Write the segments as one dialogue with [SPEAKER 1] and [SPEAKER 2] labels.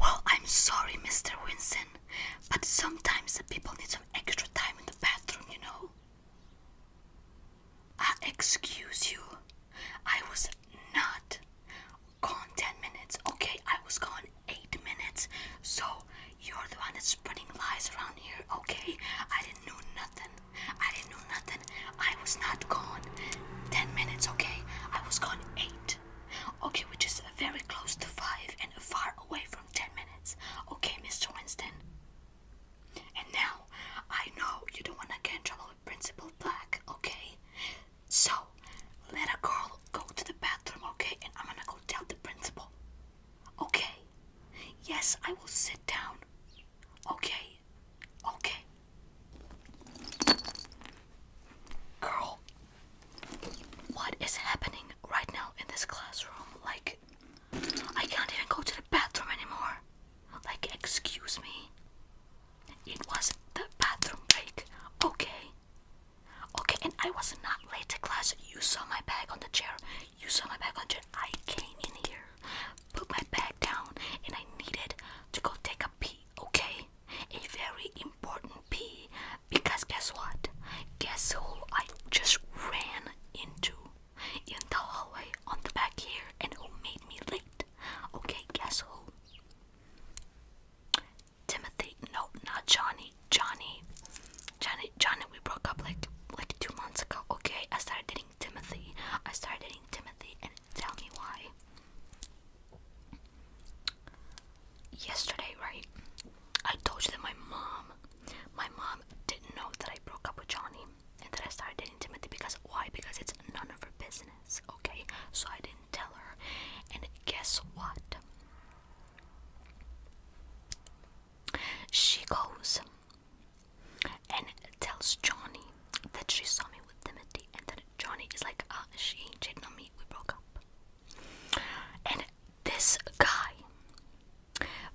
[SPEAKER 1] Well, I'm sorry, Mr. Winson, but sometimes the people need some extra time in the bathroom, you know. excuse you. I was not gone 10 minutes, okay? I was gone 8 minutes. So, you're the one that's spreading lies around here, okay? I didn't know nothing. I didn't know nothing. I was not gone 10 minutes, okay? I was gone 8. Okay, which is very close to 5 and far away from 10 minutes. Okay, Mr. Winston. And now, I know you don't want to get in trouble with Principal Black, okay? So, let a girl go to the bathroom, okay? And I'm gonna go tell the principal. Okay? Yes, I will sit down. Okay? Okay. Girl, what is happening right now in this classroom? Like, I can't even go to the bathroom anymore. Like, excuse me. It was the bathroom break. Okay. Okay, and I was not late to class. You saw my bag on the chair. You saw my bag on the chair. I came in here, put my bag down, and I needed to go take a pee, okay? a very important pee because guess what? Guess who I just ran into in the hallway on the back here and who made me late? Okay, guess who? Timothy. No, not Johnny. Johnny. Johnny Johnny we broke up like like two months ago. Okay, I started dating Timothy. I started dating Timothy and tell me why yesterday, right? I told you that my mom, my mom didn't know that I broke up with Johnny and that I started dating Timothy because why? Because it's none of her business, okay? So I didn't tell her. And guess what? She goes and tells Johnny that she saw me with Timothy and that Johnny is like, ah, she ain't cheating on me, we broke up. And this guy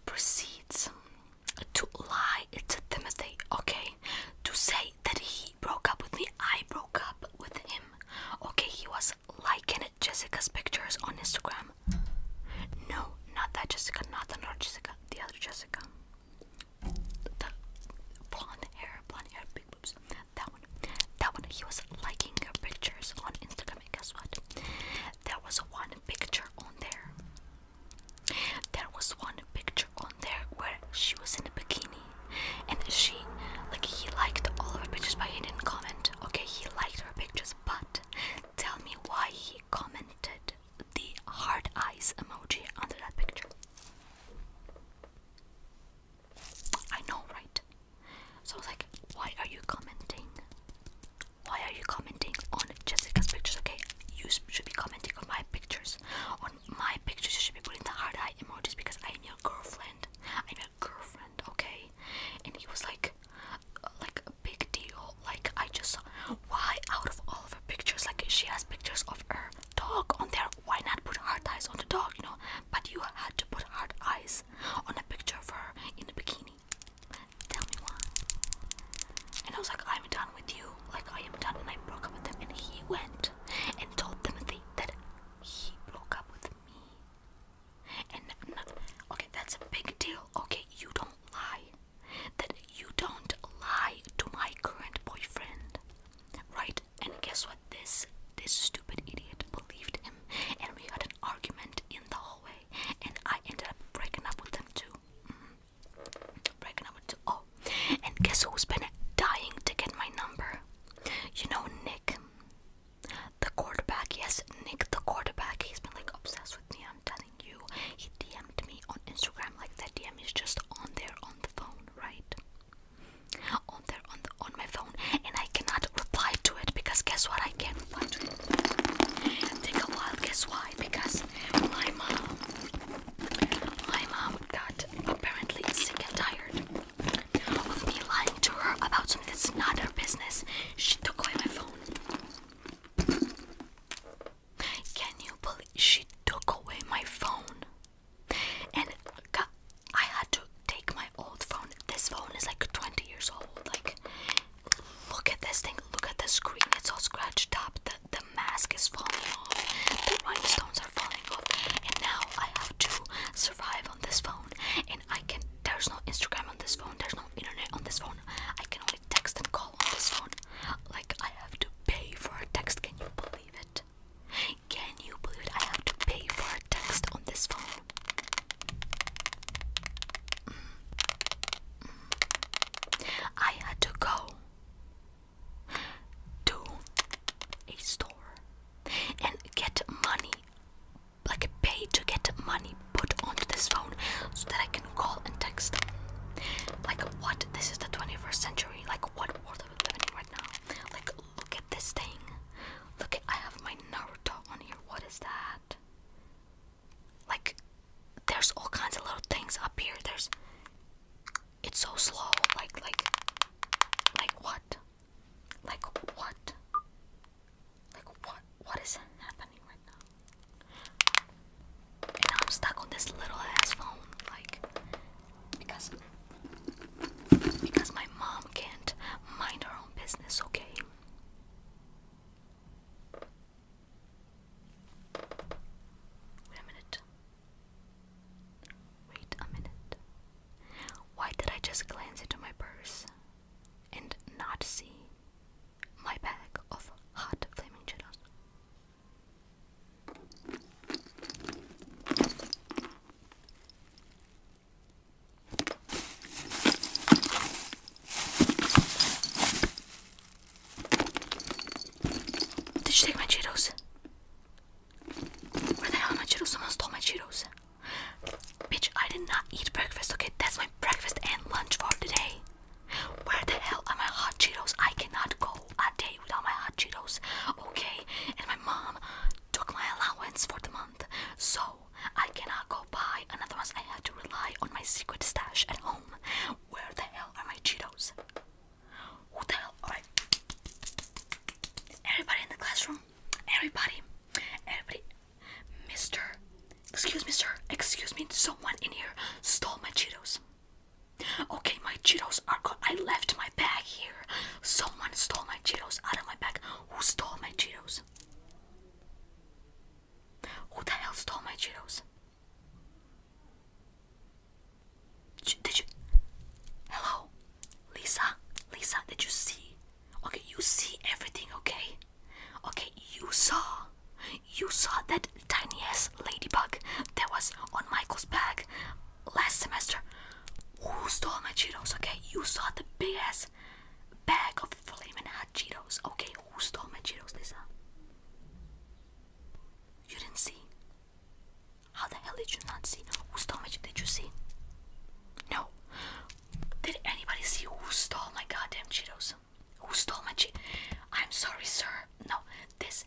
[SPEAKER 1] proceeds to lie to Timothy, okay? To say that he broke up with me, I broke up with him. Okay, he was liking Jessica's pictures on Instagram. No, not that Jessica, not the Jessica, the other Jessica. The blonde hair, blonde hair that one. That one. He was liking her pictures on Instagram, and guess what? There was one picture on there. There was one picture on there where she was in a bikini, and she, like, he liked all of her pictures, but he didn't comment. Okay, he liked her pictures, but tell me why he commented the hard eyes emoji under that picture. I know, right? So I was like, why are you commenting? Why are you commenting on Jessica's pictures? Okay, you should be commenting on my pictures. On my pictures, you should be putting the hard eye emojis because I'm your girlfriend. I'm your girlfriend, okay? And he was like, like a big deal. Like I just saw why out of all of her pictures, like she has pictures of her dog on there why not put hard eyes on the dog, you know? But you had to put hard eyes on a picture of her in a bikini. Tell me why. And I was like, I'm done with you. Like, I am done. And I broke up with him. And he went and told Timothy that he broke up with me. And okay, that's a big deal. Okay, you don't lie. That you don't lie to my current boyfriend. Right? And guess what? This this stupid idiot believed him, and we had an argument in the hallway. And I ended up breaking up with him too. Mm-hmm. Breaking up with Oh, and guess who's been dying to get my number? You know Nick, the quarterback. Yes, Nick, the quarterback. He's been like obsessed with me. I'm telling you, he DM'd me on Instagram. Like that DM is just on there on the phone, right? Oh, on there on on my phone, and I cannot reply to it because guess what? I can't reply to it. Take a while. Guess why? Because my mom, my mom got apparently sick and tired of me lying to her about something that's not her business. She took away my phone. Can you believe she took away my phone? And I had to take my old phone. This phone is like 20 years old. Like, look at this thing. Look at the screen. It's all scratched up. The, the mask is falling off. The rhinestones are falling off. And now I have to survive on this phone. And I can. There's no Instagram on this phone. There's no internet on this phone. I can only text and call on this phone. Like, I have to pay for a text. Can you believe it? Can you believe I have to pay for a text on this phone. Mm. I had to go to a store and get money, like pay to get money put onto this phone so that I can call and text. Like, what? This is the 21st century. Like, what world are we living in right now? Like, look at this thing. Look I have my Naruto on here. What is that? Like there's all kinds of little things up here. There's it's so slow. Like like like what? Like what? Like what what is happening right now? And I'm stuck on this little ass phone, like because because my mom can't mind her own business, okay? Wait a minute. Wait a minute. Why did I just glance into my purse and not see my bag of hot flaming cheetos? Did you take my Cheetos? Where the hell are my Cheetos? Someone stole my Cheetos. Bitch, I did not eat breakfast, okay? That's my breakfast and lunch for today. Where the hell are my hot Cheetos? I cannot go a day without my hot Cheetos, okay? And my mom took my allowance for the month. So Oh, I cannot go buy another one. I have to rely on my secret stash at home. Where the hell are my Cheetos? Who the hell? Alright. Everybody in the classroom? Everybody. Everybody. Mr. Excuse me, sir. Excuse me. Someone in here stole my Cheetos. Okay, my Cheetos are gone. I left my bag here. Someone stole my Cheetos out of my bag. Who stole my Cheetos? Who the hell stole my Cheetos? Did you? Hello, Lisa. Lisa, did you see? Okay, you see everything. Okay, okay, you saw. You saw that tiny ass ladybug that was on Michael's bag last semester. Who stole my Cheetos? Okay, you saw the big ass bag of flaming hot Cheetos. Okay, who stole my Cheetos, Lisa? You didn't see? How the hell did you not see? Who stole my Cheetos? Did you see? No. Did anybody see who stole my goddamn Cheetos? Who stole my Cheetos? I'm sorry, sir. No, this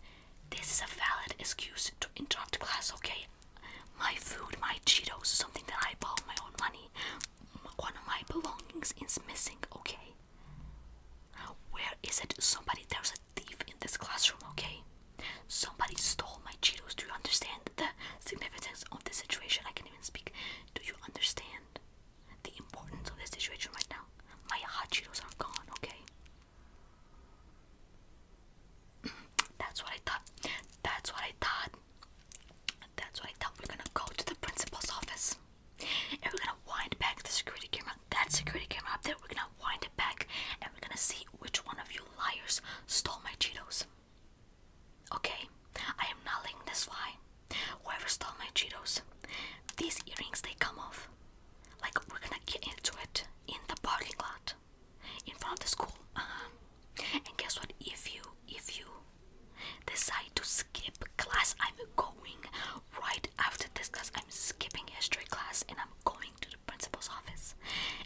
[SPEAKER 1] this is a valid excuse to interrupt class, okay? my food, my Cheetos, something that I bought my own money. One of my belongings is missing, okay? Where is it? Somebody, there's a thief in this classroom, okay? Somebody stole my Cheetos. Do you understand the significance of this situation? I can't even speak. Do you understand the importance of this situation right now? My hot Cheetos are gone, okay? That's what I thought. That's what I thought. That's why I thought. We're gonna go to the principal's office and we're gonna wind back the security camera. That security camera up there, we're gonna wind it back and we're gonna see which one of you liars stole my Cheetos. Okay, I am not letting this fly. Whoever stole my Cheetos, these earrings they come off. Like we're gonna get into it in the parking lot, in front of the school. Uh-huh. And guess what? If you if you decide to skip class, I'm going right after this class. I'm skipping history class and I'm going to the principal's office.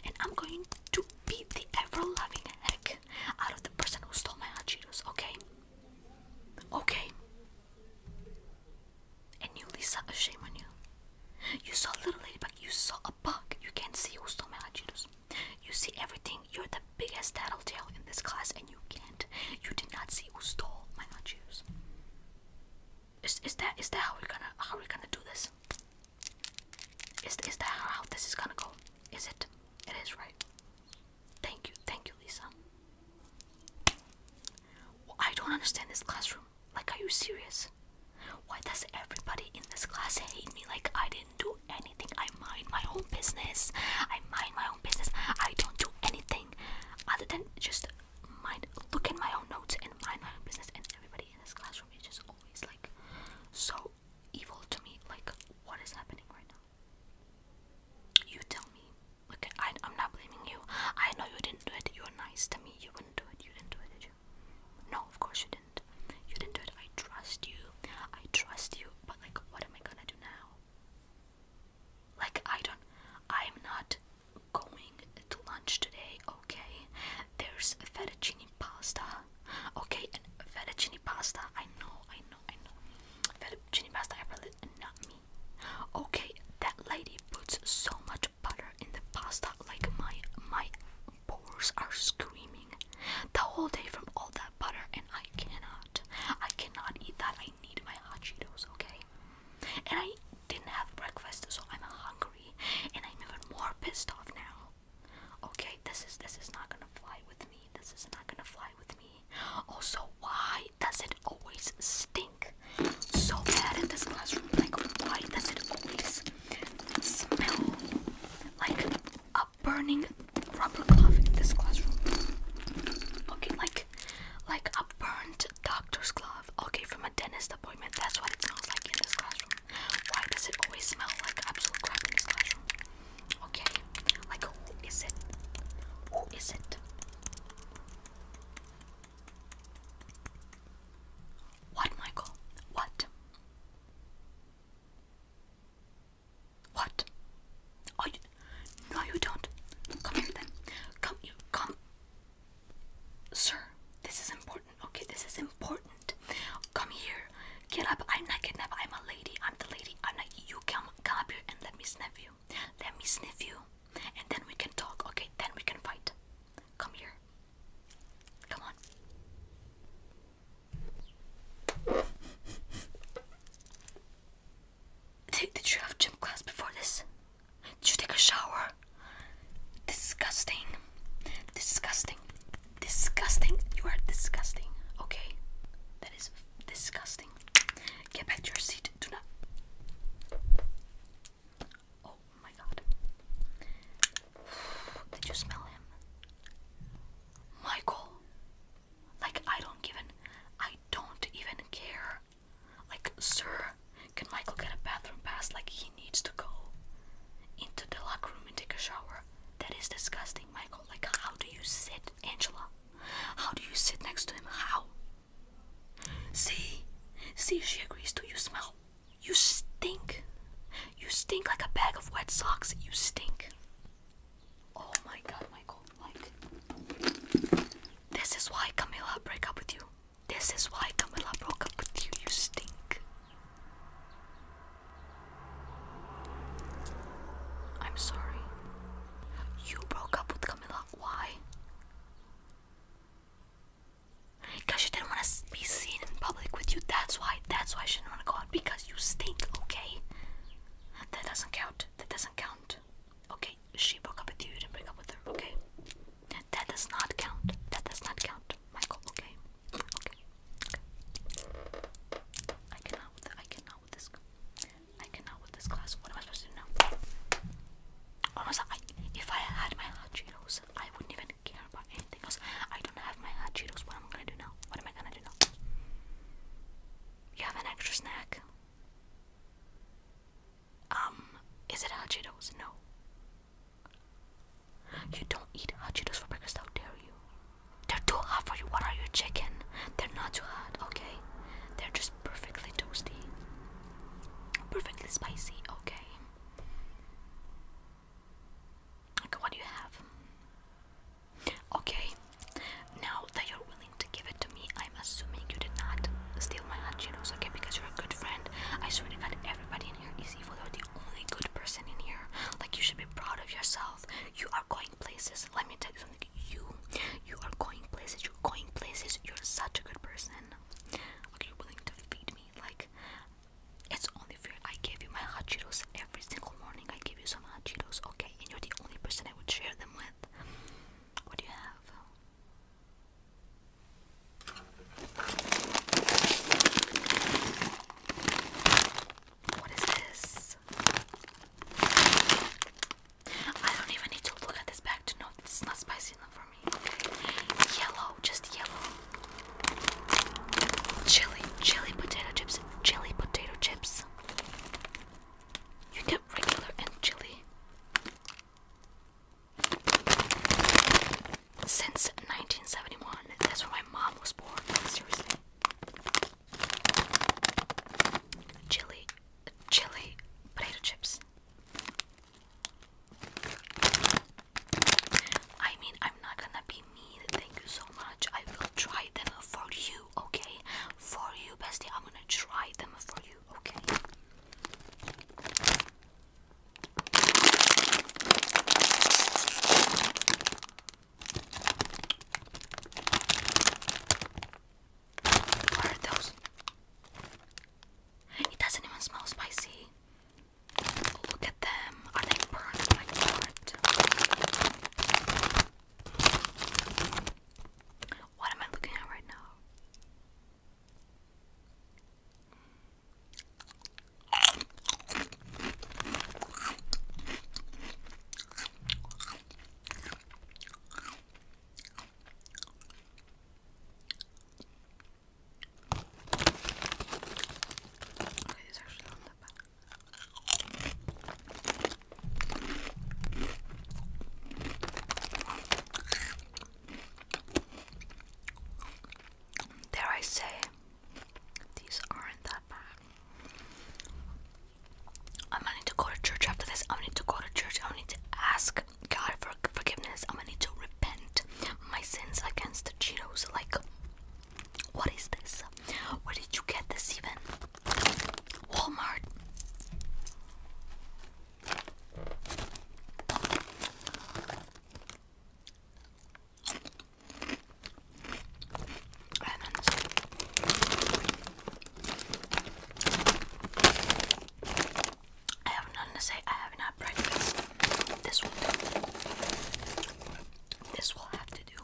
[SPEAKER 1] And I'm going to beat the ever loving heck out of the person who stole my hot Cheetos, okay? Okay. And you Lisa, shame on you. You saw a little ladybug, you saw a bug. You can't see who stole my hot Cheetos. You see everything. You're the biggest tattletale in this class, and you can't. You did not see who stole my hot shoes. Is is that is that how we're gonna how we gonna do this? Is is that how this is gonna go? Is it? It is right. Thank you, thank you, Lisa. I don't understand this classroom. Like, are you serious? Why does everybody in this class hate me like I did didn't do anything. I mind my own business. I mind my own business. I don't do anything other than just mind look at my own notes and mind my own business and everybody in this classroom is just always like so evil to me. Like what is happening right now? You tell me. Look I I'm not blaming you. I know you didn't do it. You're nice to me. You wouldn't do it. You didn't do it, did you? No, of course you didn't. You didn't do it. I trust you. I trust you. But like, what am I gonna do now? Like, I don't. I'm not going to lunch today. Okay. There's fettuccine pasta. Okay, and fettuccine pasta. I know. I know. I know. Fettuccine pasta. I really not me. Okay, that lady puts so much butter in the pasta. Like my my pores are screaming the whole day from all that butter, and I cannot. I cannot eat that. I need my hot Cheetos, okay? And I didn't have breakfast, so I'm hungry, and I'm even more pissed off now. Okay, this is this is not gonna fly with me. This is not gonna fly with me. Also, why does it always stink so bad in this classroom? Like, why does it always smell like a burning rubber glove in this classroom. Okay, like like a burnt doctor's glove. Okay, from a dentist appointment. That's what it smells like in this classroom. Why does it always smell like absolute crap in this classroom? Okay, like who is it? Who is it? What, Michael? What? What? Oh, no, you don't. Come here then. Come, you come. Sir, this is important. Okay, this is important. Come here. Get up. I'm not kidnapped. I'm a lady. I'm the lady. I'm not. You come, come up here and let me sniff you. Let me sniff you. And then we can talk. Okay, then we can fight. Come here. Come on. Did, you have gym class before this? Did you take a shower? Disgusting. Disgusting. Disgusting. You are disgusting. Okay? That is disgusting. Get back to your seat. Do not. Oh my god. Did you smell him? Michael. Like I don't even I don't even care. Like, sir, can Michael get a bathroom pass? Like he needs to go into the locker room and take a shower. That is disgusting, Michael. Like how do you sit, Angela? How do you sit next to him? How? See? See she agrees to you smell. You stink. You stink like a bag of wet socks. You stink. Oh my god, Michael. this is why Camilla broke up with you. This is why Camilla broke up with you. You stink. I'm sorry. You broke up with Camilla. Why? Because she didn't want to be seen in public with you. That's why. That's why she didn't want to go out. Because you stink, okay? That doesn't count. That doesn't count. Okay, she broke up with you, you didn't break up with her, okay? That does not count. That does not count, Michael, okay? Okay. okay. I cannot with I cannot with this I cannot with this class. What am I supposed to do now? Almost I if I had my hot Cheetos, I wouldn't even care about anything else. I don't have my hot Cheetos. What am I gonna do now? What am I gonna do now? You have an extra snack? Um, is it hot Cheetos? No. You don't eat hot Cheetos for breakfast, how dare you? They're too hot for you. What are you, chicken? They're not too hot, okay? They're just perfectly toasty. Perfectly spicy, okay? Okay, what do you have? Okay, now that you're willing to give it to me, I'm assuming you did not steal my hot Cheetos, okay? Because you're a good friend. I swear to God, everybody in here is evil. You're the only good person in here. Like, you should be proud of yourself. You are going places. Let me tell you something. You, you are going places. You're going places. You're such a good person. Okay, you're willing to feed me. Like, it's only fair. I gave you my hot Cheetos every single morning. I give you some hot Cheetos, okay? and you're the only person I would share them with. What do you have? What is this? I don't even need to look at this bag to know this is not spicy enough for me. Yellow, just yellow. Chili, chili potato chips, chili potato chips. You get regular and chili. Since 1971, that's where my mom was born. Seriously, chili, chili, potato chips. I mean, I'm not gonna be Thank you so much. I will try them for you, okay? For you, bestie. I'm gonna try them for you, okay? What are those? It doesn't even smell spicy. Look at them. Are they burnt like oh what am I looking at right now? Okay, it's actually not that bad. Dare I say, these aren't that bad. I'm gonna need to go to church after this. I'm gonna need to go to church. I'm gonna need to ask God for forgiveness. I'm gonna need to repent my sins against the Cheetos. Like, what is this? Where did you get this even? Walmart. I have nothing to say. I haven't had breakfast. This will do. This will have to do.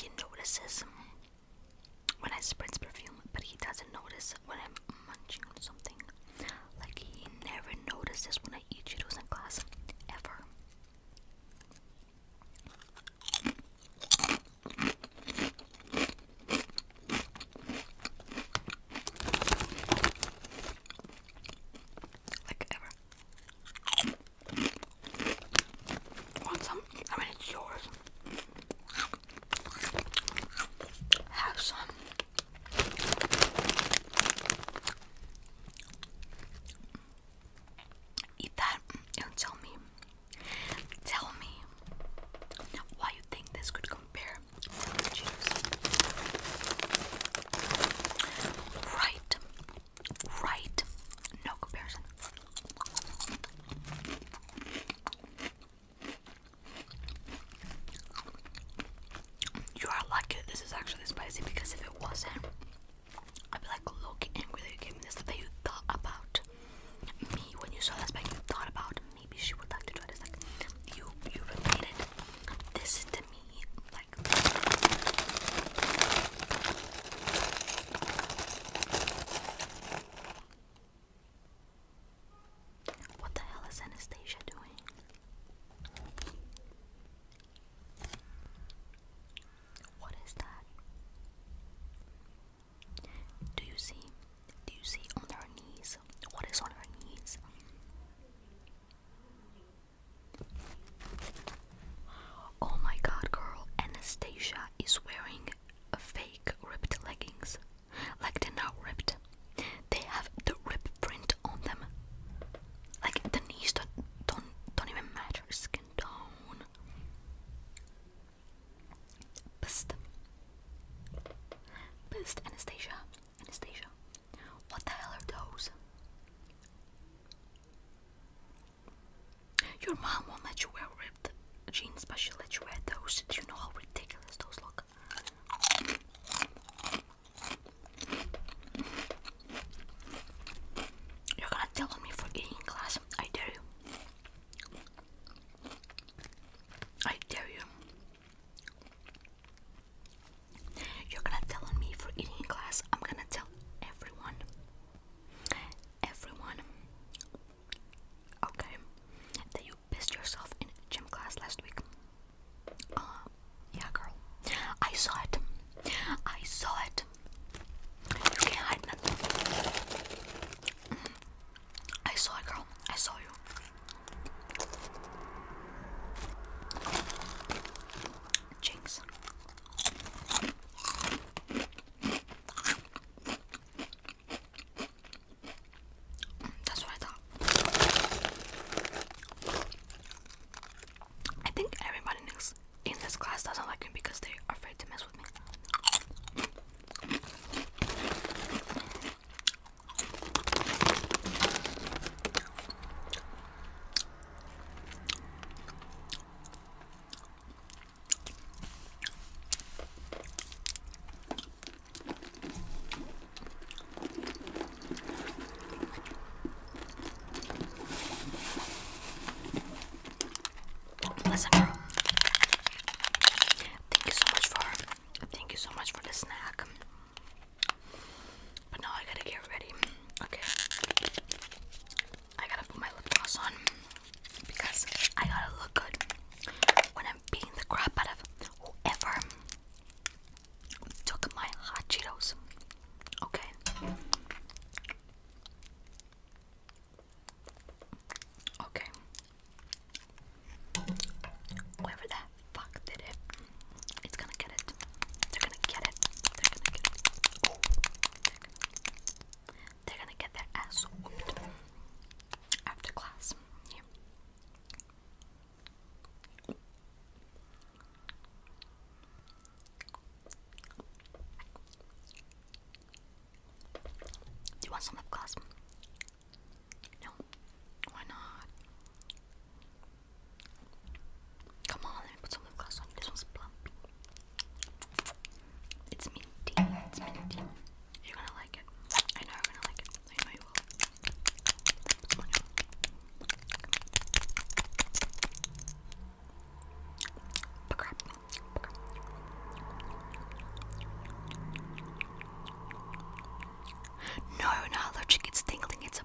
[SPEAKER 1] He notices when I spritz perfume, but he doesn't notice when I'm munching on something. Like he never notices when I eat Cheetos in class, ever. Like ever. Want some? I mean, it's yours. Have some. Eat that and tell me. Tell me why you think this could compare Right right. No comparison. You are lucky this is actually spicy because if it wasn't, I'd be like, look, angry that you gave me this. That you thought about me when you saw this, but thought about maybe she would like to try this. Like, you, you related this to me. What the hell is Anastasia doing? What is that? Do you see? Do you see on her knees? What is on her knees? Oh my god, girl, Anastasia is wearing a fake ripped leggings. Like they're not ripped. They have the rip print on them. Like the knees don't don't, don't even match her skin tone. Best. bust, Anastasia. Anastasia. What the hell are those? Your mom won't let you wear ripped jeans, but she'll let you wear those. Do you know how ridiculous those look? You're gonna tell on me for eating in class. I dare you. I dare you. You're gonna tell on me for eating in class. I'm gonna tell everyone. Everyone. Okay. That you pissed yourself in gym class last week. Uh, yeah, girl. I saw it. I saw it. You can't hide nothing. Mm. I saw it, girl. I saw you. Jinx. That's what I think everybody in this class doesn't like me because they are afraid to mess with me. Listen, girl. Thank you so much for thank you so much for the snack. But now I gotta get ready. Okay. I gotta put my lip gloss on because I gotta look good when I'm beating the crap out of whoever took my hot Cheetos. Okay. Okay. Whoever that fuck did it, it's gonna get they're gonna get it. They're gonna get it. they're gonna, get their ass whooped after class. Do you want some lip gloss? No. Why not? Come on, let me put some lip gloss on you. This one's plump. It's minty. It's minty. You're gonna like it. I know you're gonna like it. I know you will. Come No, you're It's tingling. It's a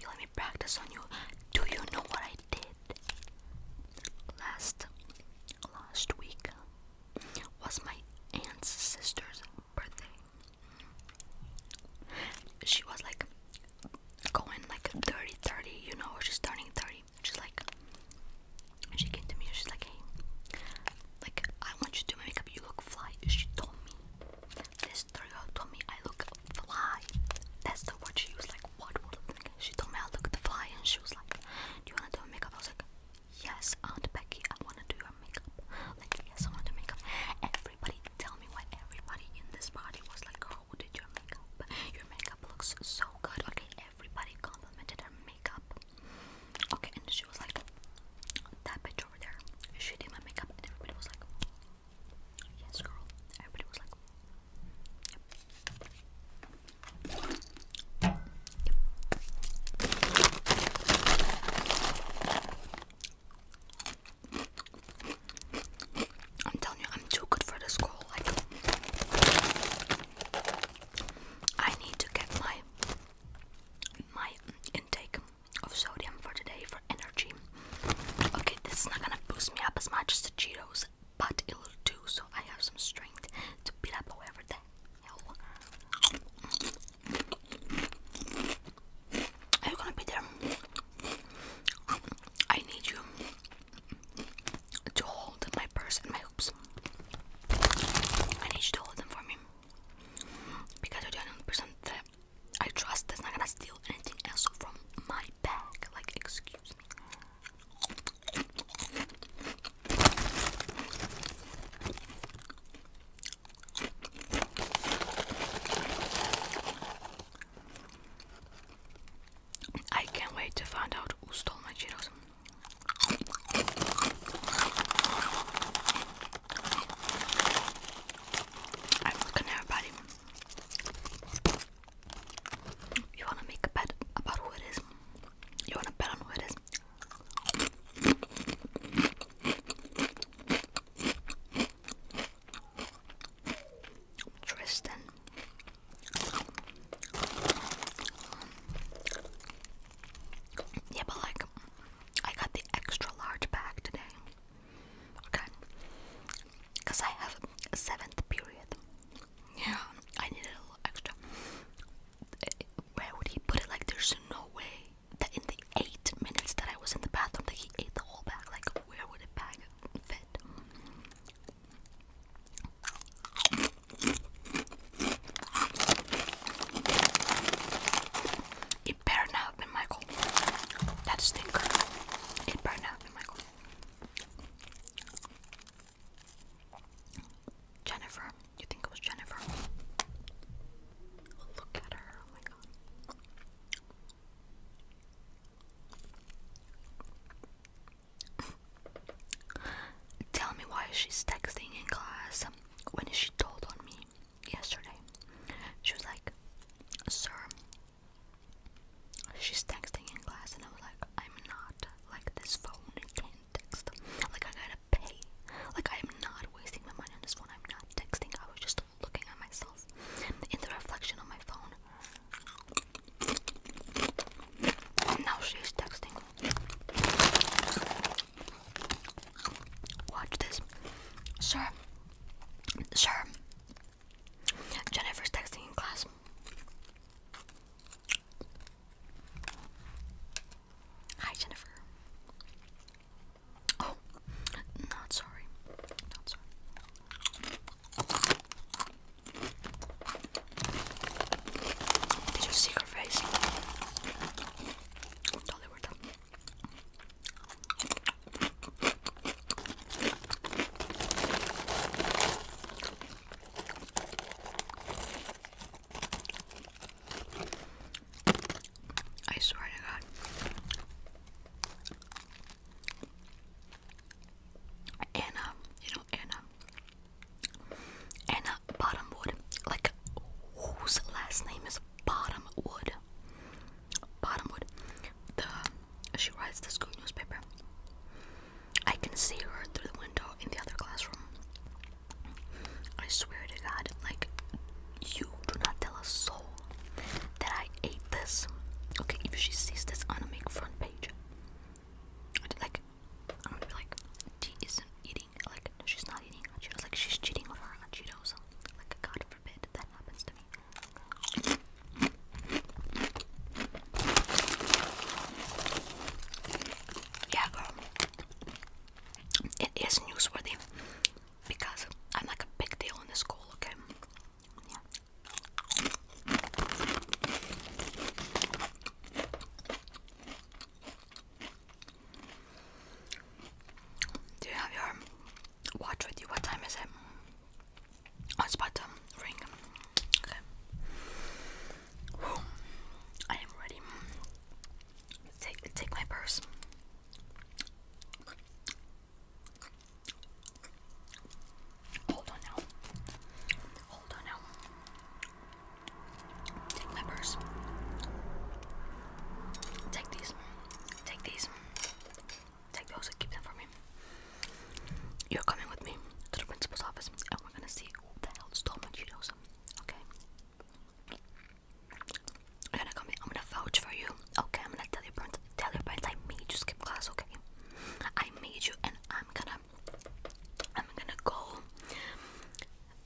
[SPEAKER 1] You let me practice on you. Do you know what I did? Last last week was my aunt's sister's birthday. She was like going like 30 30, you know, she's turning 30. She's like she came to me she's like, Hey, like I want you to do my makeup, you look fly. She told me. This girl told me I look fly. That's the word she used. Like, what word? She told me I look the fly, and she was like, "Do you wanna do her makeup?" I was like, "Yes, Aunt Becky, I wanna do your makeup." Like, yes, I wanna make up. Everybody, tell me why everybody in this party was like, "Girl, who did your makeup? Your makeup looks so good." Okay, everybody complimented her makeup. Okay, and she was like, "That bitch over there, she did my makeup, and everybody was like, yes, girl. Everybody was like, yep. I'm telling you, I'm too good for this school. I need to get my my intake of sodium for today for energy. Okay, this is not gonna boost me up as much as the Cheetos, but it'll do so I have some strength to beat up whoever the hell. Are you gonna be there? I need you to hold my purse and my hoops. I need you to hold them for me because I you're the only person that I trust that's not gonna steal anything else from my bag. Like, excuse me. I can't wait to find out who stole my Cheetos. I'm looking at everybody. You wanna make a bet about who it is? You wanna bet on who it is? Tristan. Yeah, but like, I got the extra large bag today okay? Because I have a seventh period. Yeah, I need a little extra. Eh, where would he put it? Like, there's no way that in the eight minutes that I was in the bathroom that he ate the whole bag. Like, where would a bag fit? It better not have been that's That stinker. It burned out Jennifer. You think it was Jennifer? Oh, look at her. Oh my god. Tell me why she's texting in class. When is she told on me? yesterday. She was like, Sir, she's texting in class, and I was like, I'm not. Like, this phone can't text. Like, I gotta pay. Like, I'm not wasting my money on this phone. I'm not texting. I was just looking at myself in the reflection on my phone. And now she's texting. Watch this. Sir. Sir. Jennifer's texting in class. Hi, Jennifer. Oh, not sorry. Not sorry. Did you see her face? Totally worth it. I swear to God. Anna, you know Anna. Anna Bottomwood. Like whose last name is Bottomwood? Bottomwood the she writes the school newspaper. I can see her through the window in the other classroom. I swear to God, like you do not tell a soul that I ate this. Okay, if she sees this on a make front page, I'd like I'm going like, she isn't eating. Like she's not eating on Like she's cheating on her Cheetos. Like God forbid that happens to me. Yeah, girl. It is newsworthy because I'm like a big deal in the school, okay? Do you have your watch with you. What time is it? Oh, it's about ring. Okay. I am ready. Take, take my purse. Hold on now. Hold on now. Take my purse. Take these. Take these. Take those and keep them for me. You're coming with me to the principal's office and we're gonna see who the hell stole my Cheetos. Okay? I'm gonna come in. I'm gonna vouch for you. Okay, I'm gonna tell your parents tell your parents I made you skip class, okay? I made you and I'm gonna I'm gonna go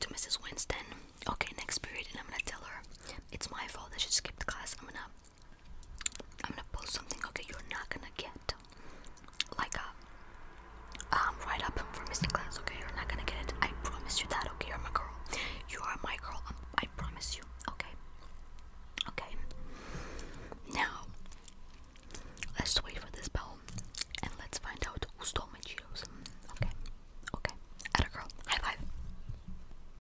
[SPEAKER 1] to Mrs. Winston, okay, next period, and I'm gonna tell her it's my fault that she skipped class. I'm gonna I'm gonna post something okay you're not gonna get like a uh, um right up for Mr. Class, okay? You're not gonna get it. I promise you that, okay? You're my girl. You are my girl. Um, I promise you, okay? Okay. Now let's wait for this bell and let's find out who stole my Cheetos. Okay. Okay. At a girl. High five.